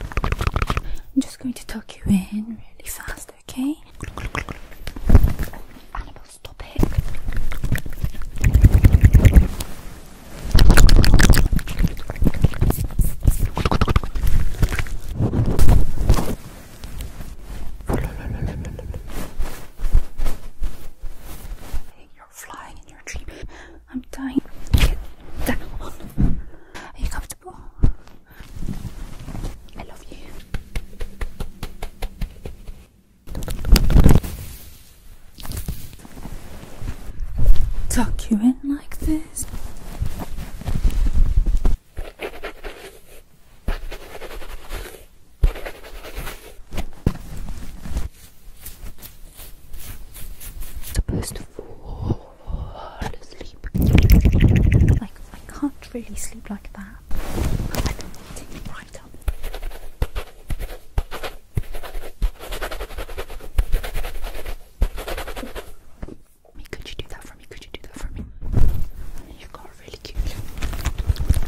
I'm just going to tuck you in really fast, okay? stop it. You're flying in your dream. I'm dying. Get down. Are you comfortable? I love you. Tuck you in like this. Supposed to fall. Like, I can't really sleep like that. I've been waiting right up. could you do that for me? Could you do that for me? You've got a really cute look.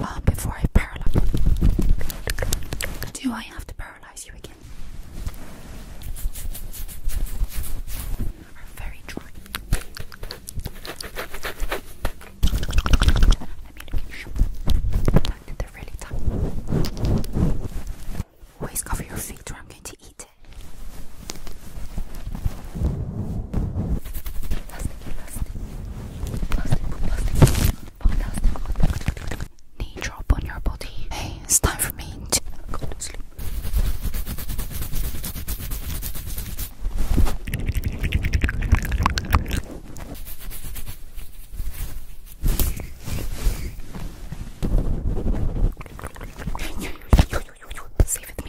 Uh, before I do I have to paralyze you again? Are very dry. Let me look at you. They're really tough. Always cover your feet or I'm going to eat it. Plastic, plastic. Plastic, plastic knee drop on your body. Hey, it's time for me to go to sleep. Stay with me.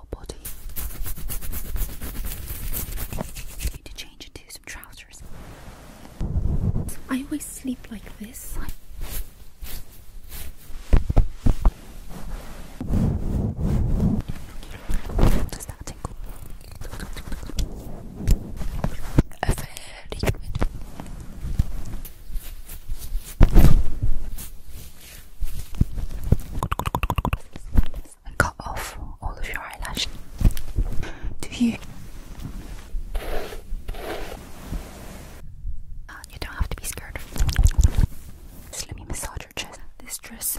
I need to change into some trousers. I always sleep like this. does that tingle? A and cut off all of your eyelashes. Do you? Uh, you don't have to be scared. Just let me massage your chest. This dress.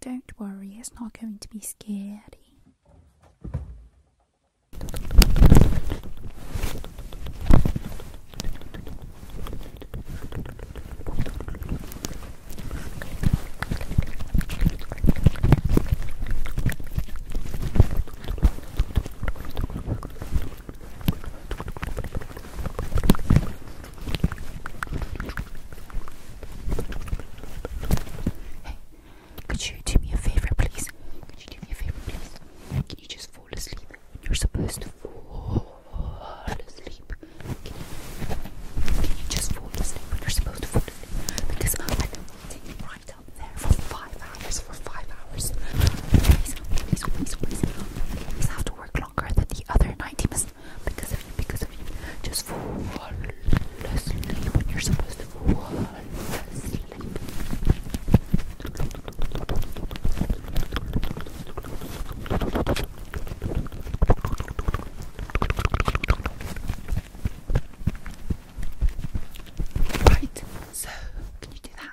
Don't worry, it's not going to be scary. Hey, could you do me a favor, please? Could you do me a favor, please? Can you just fall asleep when you're supposed to fall asleep? Can you, just fall asleep when you're supposed to fall asleep? Because I've been waiting for climbed up there for five hours, for five hours. Please, please, have to work longer than the other night. He because of you, because of you. Just fall asleep when you're supposed to fall asleep. Right, so can you do that?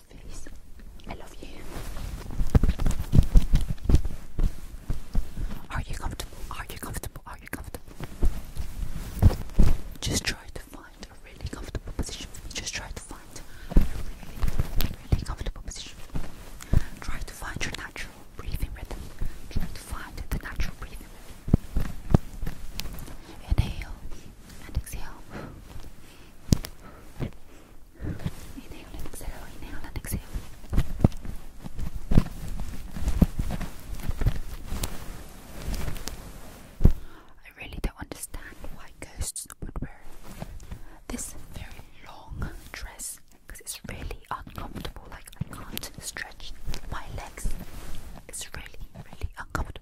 face. I love you. Are you comfortable? Are you comfortable? Are you comfortable? Just try to find a really comfortable position. Just try to find a really, really comfortable position. Try to find your natural breathing rhythm. Try to find the natural breathing Inhale and exhale. I really don't understand why ghosts would wear this very long dress because it's really uncomfortable. Like, I can't stretch my legs. It's really, really uncomfortable.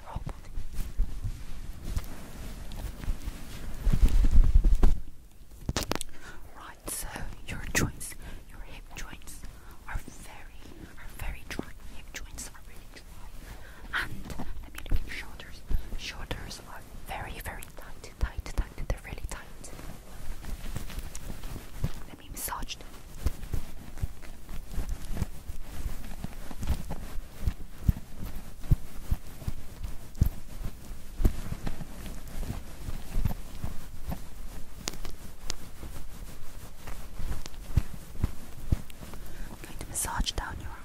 Right, so your joints, your hip joints are very, are very dry. Hip joints are really dry. And let me look at your shoulders. Shoulders are very, very tight, tight, tight. They're really tight. Let me massage them. I'm going to massage down your arms.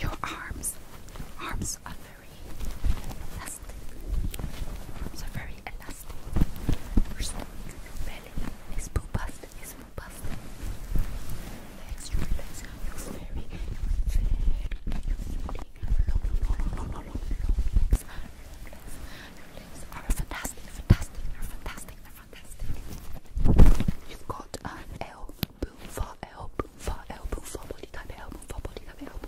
Your arms, your arms are very elastic. So very elastic. Her stomach, belly is robust, is robust. Relax, you relax. It's very, very, long, long, long, long, long, long, relax, relax, relax. Are fantastic, fantastic, are fantastic, are fantastic. You've got an L boom for L boom for L boom for body type L boom for body type L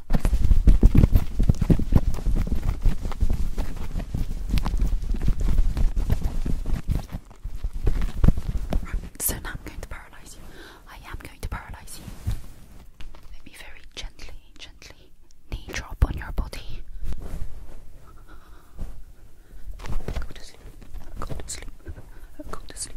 so now I'm going to paralyze you. I am going to paralyze you. Let me very gently, gently knee drop your body. Go to sleep. Go to sleep. Go to sleep.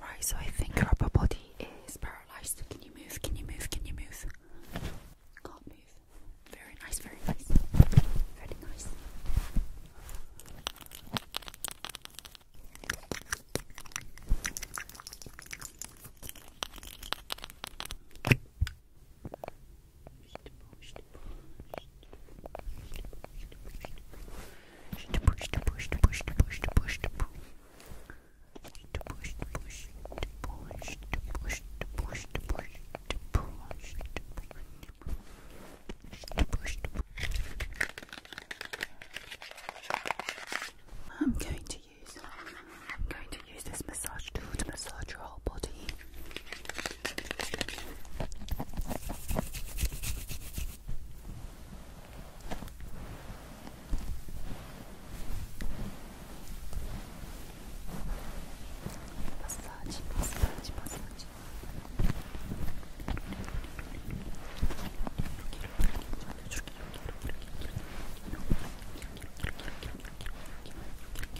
Right, so I think your upper body is paralyzed. Can you move? Can you move? Can you move? Can't move. Very nice, very nice. Very nice. I'm going to use I'm going to use this massage tool to massage your whole body. Massage, massage, massage.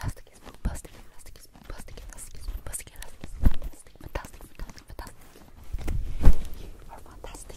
Elastic is fantastic, elastic is fantastic, elastic is fantastic, elastic is fantastic, fantastic, fantastic, fantastic. You are fantastic.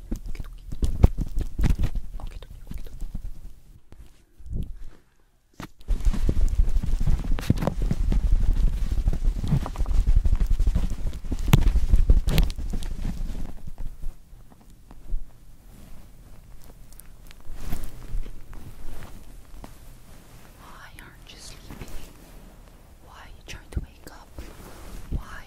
Why aren't you sleeping? Why are you trying to wake up? Why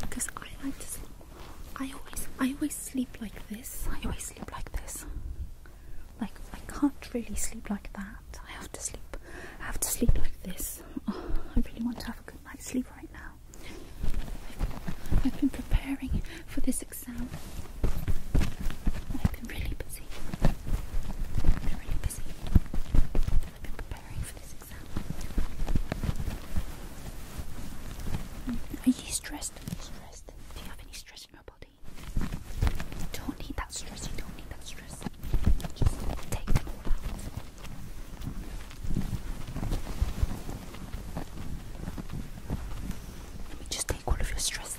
because I like to I always, I always sleep like this. I always sleep like this. Like I can't really sleep like that. I have to sleep. I have to sleep like this. I really want to have a good night's sleep right now. I've, been preparing for this exam. I've been really busy. really busy. I've been preparing for this are you stressed? stressed? Do you have any stress in your body? don't need that stress, you don't need that stress. Just take it all out. Let me just take all of your stress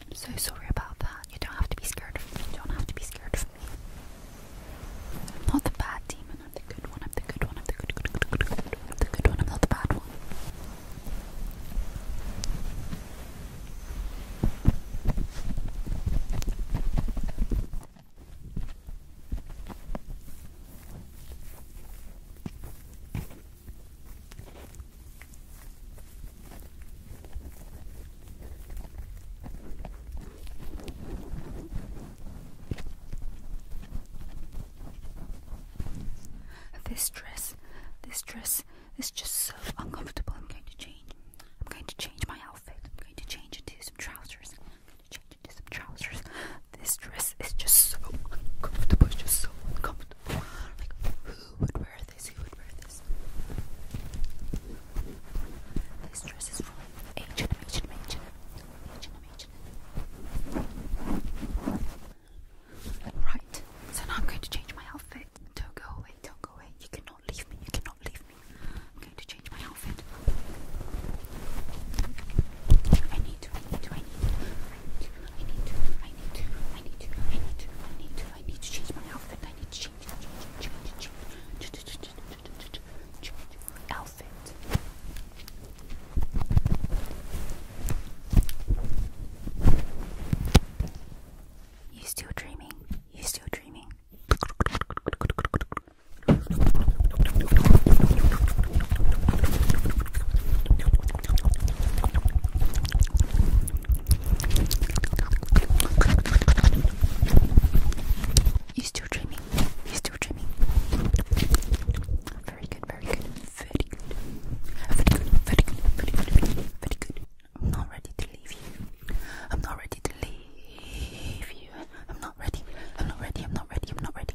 I'm so sorry about that. You don't have to be scared of me. You don't have to be scared of me. I'm not the bad demon. I'm the good one. I'm the good one. I'm I'm the good one. I'm not the bad one. This dress, this dress is just so uncomfortable. I'm going to change. I'm going to change my outfit. I'm going to change into some trousers. change into some trousers. This dress is just so uncomfortable. It's just so uncomfortable who would wear this? Who would wear this? This dress is from H&M H&M, H&M, H&M, H&M, Right, so now I'm going to change my outfit. Don't go away, don't go away. You cannot leave me, you cannot leave me. I'm going to change my outfit. I need to, I need to, I need to. I need to, I need to, I need to, I need to, I need to, I need to change my outfit. I need to change, change, change, change, change, change, change outfit. You still dreaming? You still dreaming? You still dreaming? You still dreaming? Very good, very good, very good, very good, very good, very good, I'm not ready to leave you. I'm not ready to leave you. I'm not ready. I'm not ready. I'm not ready. I'm not ready.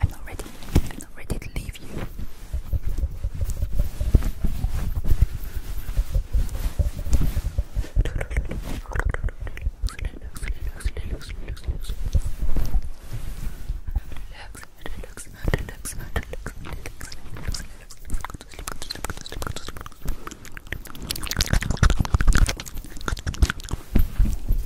I'm not ready. I'm not ready to leave you.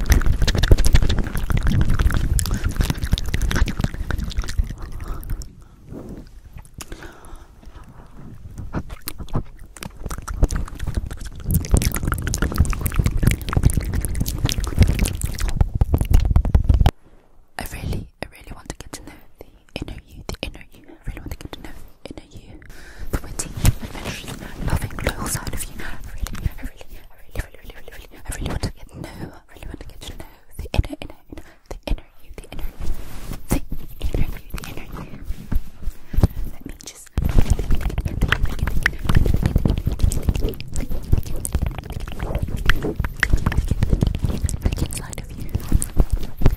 I really, I really want to get to know the inner you, the inner you. I really want to get to know the inner you, the witty, adventurous, loving, loyal side of you really, I really, really, really, really, I really want to get to know, I really want to get to know the inner, inner, inner, the inner you, the inner you, the inner you, the inner you. Let me just. Look inside of you. Look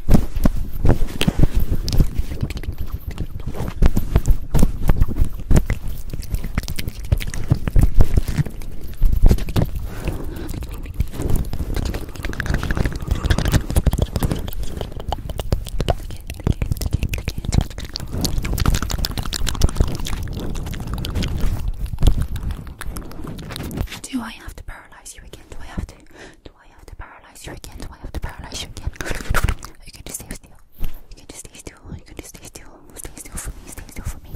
do I have to paralyze you again? Do I have to? Do I have to paralyze you again? Do I have to paralyze you again? Are you going to stay still? You can just stay still. You can just stay still. Stay still for me. Stay still for me.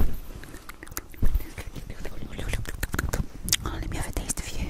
Oh, let me have a taste of you.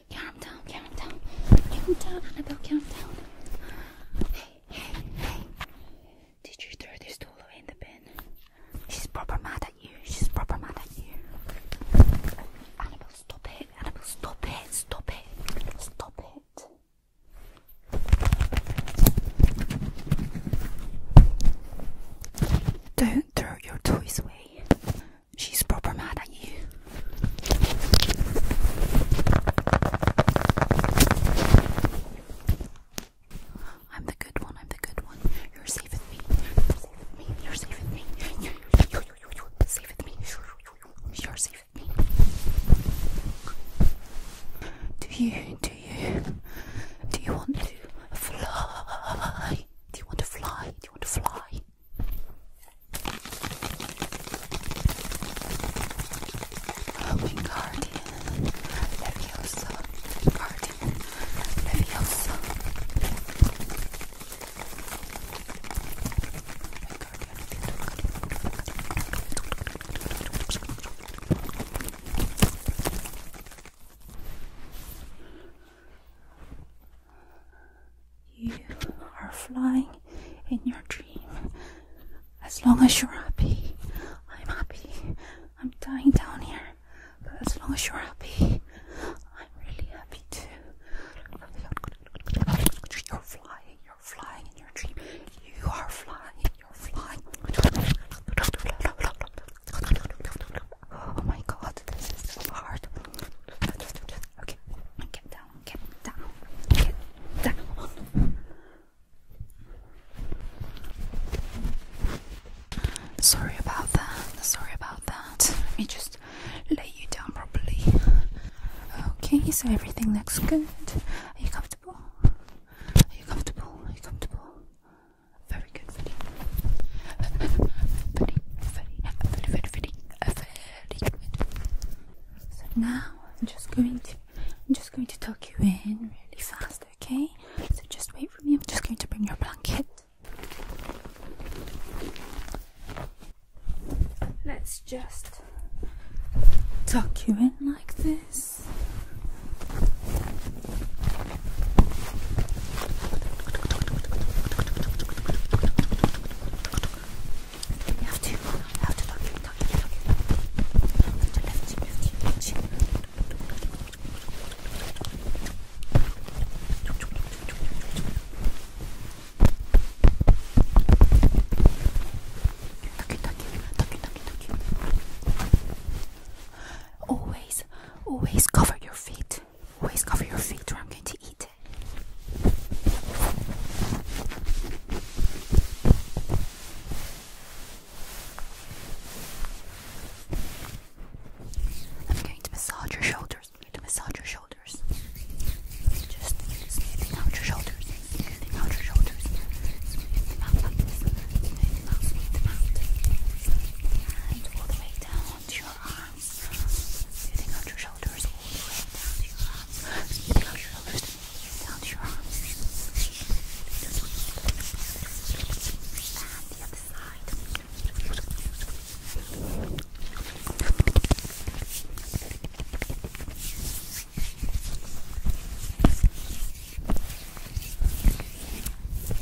Calm down, calm down. Calm down, Annabelle, calm down. Hey, hey, hey. Did you throw this tool away in the bin? She's proper mad at you. She's proper mad at you. Annabelle, stop it. Annabelle, stop it. Stop it. Stop it. Don't throw your toys away. She's proper mad at you. I'm the good one, I'm the good one. You're safe me. You're safe me. You're safe me. You're, you me. You're safe me. Do you, do you, do you want to fly? Do you want to fly? Do you want to fly? Robin Guardian, Leviosa, Guardian, Leviosa. You are flying in your dream. As long as you're happy, I'm happy. I'm dying down here, but as long as you're happy, I'm really happy too. You're flying, you're flying in your dream. You are flying, you're flying. Oh my god, this is so hard. Okay, get down, get down, get down. Sorry about that, sorry about that. Let me just lay you down properly. Okay, so everything looks good. Are you comfortable? Are you comfortable? Are you comfortable? Very good, very, very, very, very, very, very, so now I'm just going to I'm just going to tuck you in really fast, okay? So just wait for me. I'm just going to bring your blanket. Let's just tuck you in like this. You have to, Always, always cover your feet. Always cover your feet or I'm going to eat it. I'm going to massage your shoulders. I'm going to massage your shoulders. Just smoothing out your shoulders. out your shoulders. out out, out. And all the way down to your arms arms, smoothing your shoulders down your arms, smoothing out your shoulders down your arms. the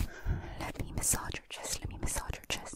other side. Let me massage let me massage your chest.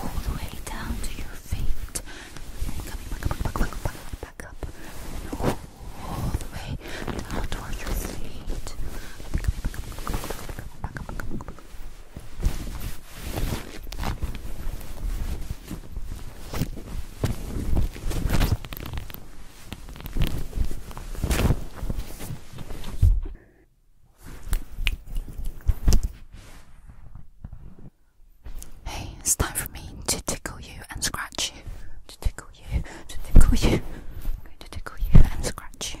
all the way down to your feet back up, all, the way down towards your feet back up. Hey, it's time for me to tickle you and scratch you. To tickle you, to tickle you. I'm going to tickle you and scratch you.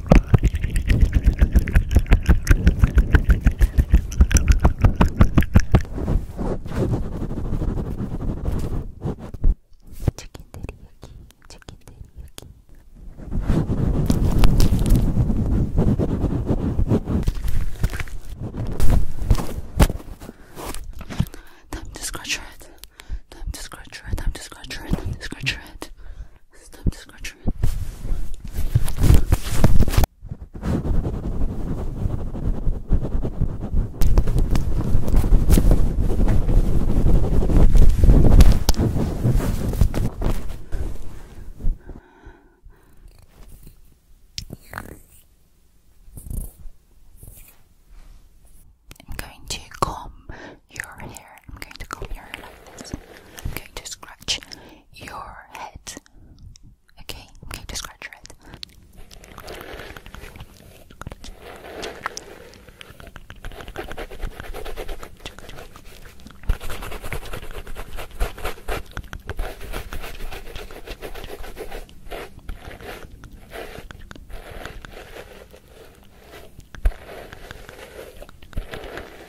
Chicken teriyaki, chicken teriyaki. Time to scratch your head. Time to scratch your head. Time to scratch your head. Time to scratch your head. Stop scratching. I'm going to comb your hair I'm going to comb your hair like this. I'm going to scratch your head. Okay, I'm going to scratch your head.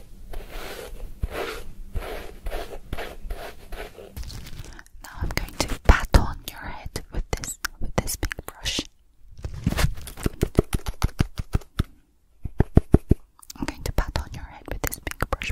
Now I'm going to pat on your head with this with this pink brush. I'm going to pat on your head with this pink brush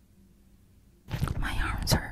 My arms hurt.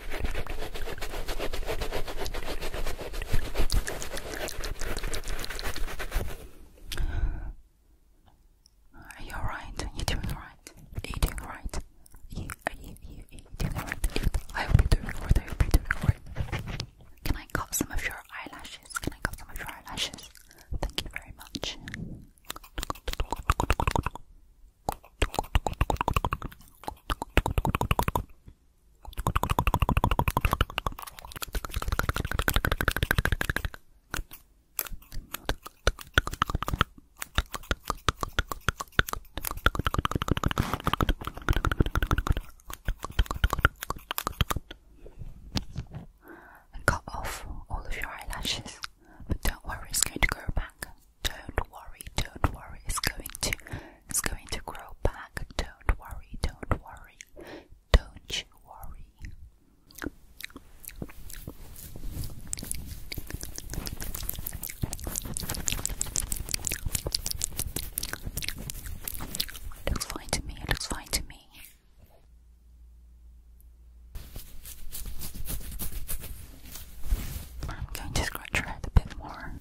Are you You Are doing alright? you, are you, are you, are doing alright? I hope you doing alright, I hope you doing alright. Can I cut some of your eyelashes? Can I cut some of your eyelashes? Thank you very much. I cut off all of your eyelashes, but don't worry, it's going to grow back. Don't worry, don't worry. It's going to it's going to grow back. Don't worry, don't worry. Don't you worry. looks fine to me, it looks fine to me. I'm going to scratch her head a bit more.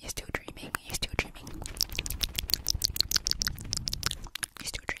You're still dreaming. You're still dreaming. You're still dreaming.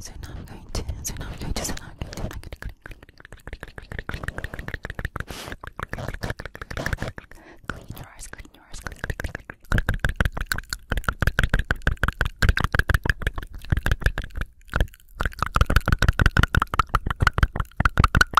So now I'm going to, so now I'm going to, so now I'm going to, I'm going to clean your eyes, clean your eyes, clean, clean, clean, clean, clean, clean,